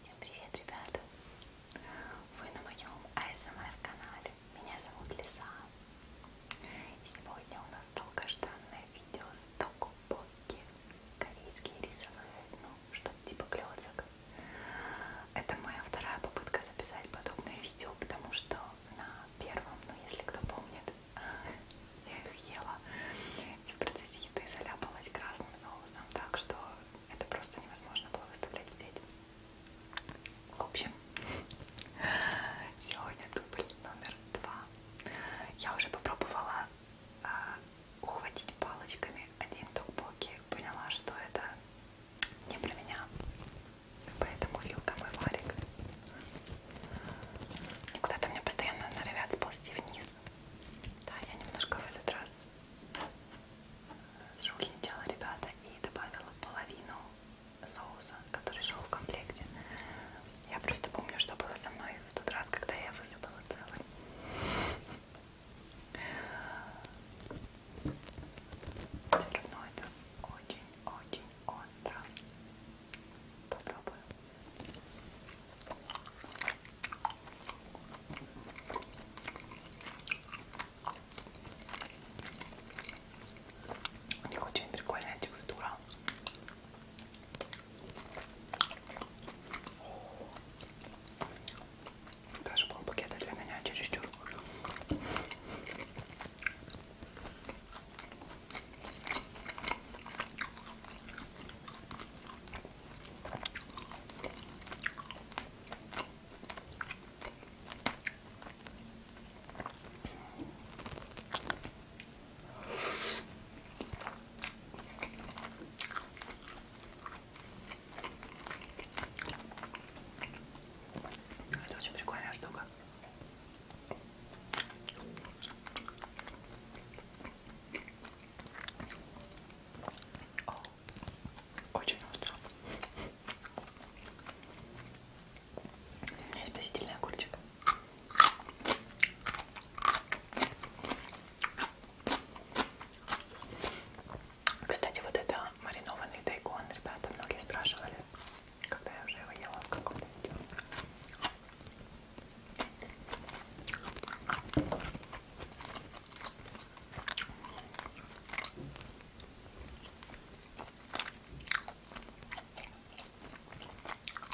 Всем привет, ребята! Вы на моем АСМР-канале. Меня зовут Лиза. И сегодня у нас долгожданное видео с Токупо лодки корейские рисовые, ну, что-то типа клёцок. Это моя вторая попытка записать подобное видео, потому что на первом, ну, если кто помнит, я их ела и в процессе еды заляпалась красным соусом, так что это просто невозможно было выставлять в сеть. В общем, сегодня дубль номер два. Я уже попробовала э, ухватить палочками один тукбоки, поняла, что это не про меня. Поэтому вилка мой варик. И куда-то мне постоянно норовят сползти вниз. Да, я немножко в этот раз сжульничала, ребята, и добавила половину соуса, который шел в комплекте. Я просто помню, что было со мной в тот раз, когда я высыпала целый. Все равно это очень-очень остро. Попробую. У них очень прикольная текстура. Даже полпакета для меня чересчур. Это очень прикольная штука. О, очень остро. У меня есть спасительный огурчик. Кстати, вот это маринованный тайкон, ребята, многие спрашивали, когда я уже его ела в каком-то видео.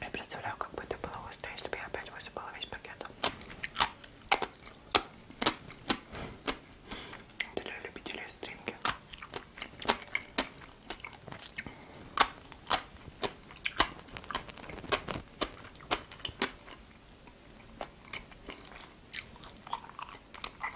Я представляю, как бы это было остро, если бы я опять высыпала весь пакет. Это для любителей стринги.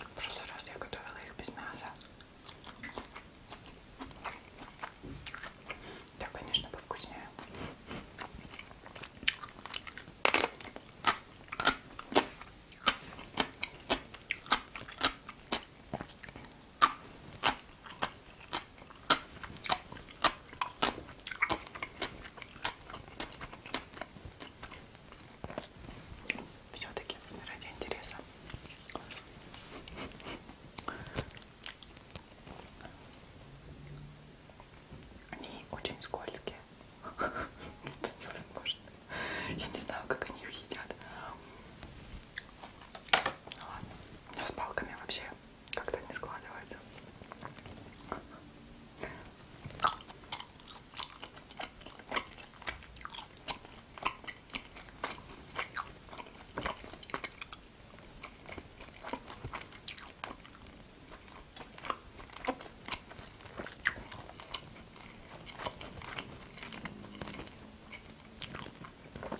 В прошлый раз я готовила их без мяса. Да, конечно, повкуснее. Все-таки ради интереса. Они очень скользкие. Это невозможно. Я не знаю, как они их едят. Ну ладно. У меня с палками вообще как-то не складывается.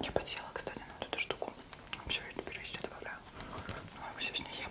Я потела, кстати, на вот эту штуку. Все, я теперь везде добавляю. Ну, а Все с ней ем.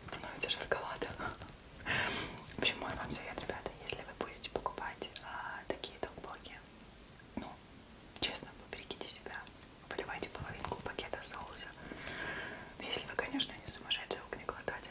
Становится жарковато. В общем, мой вам совет, ребята, если вы будете покупать а, такие докбоки, ну, честно, поберегите себя, выливайте половинку пакета соуса если вы, конечно, не сумасшедший огнеглотатель.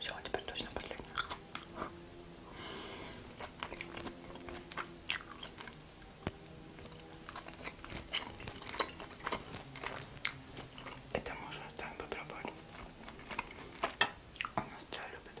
Все, а теперь точно последний. Это можно оставим попробовать. Он нас чай любит.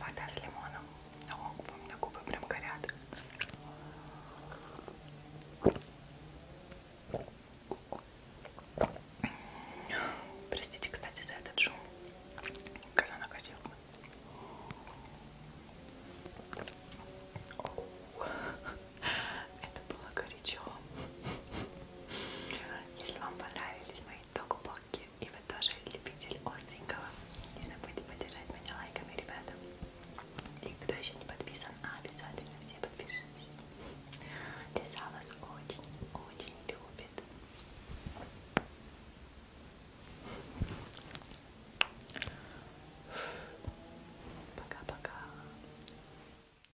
Вода с лимоном. О, у меня губы прям горят. Простите, кстати, за этот шум. Казанокосилка. Это было горячо. Если вам понравились мои токбоки и вы тоже любитель остренького, не забудьте поддержать меня лайками, ребята. И кто еще не подписан, обязательно все подпишитесь. Лиса вас очень-очень любит. Пока-пока.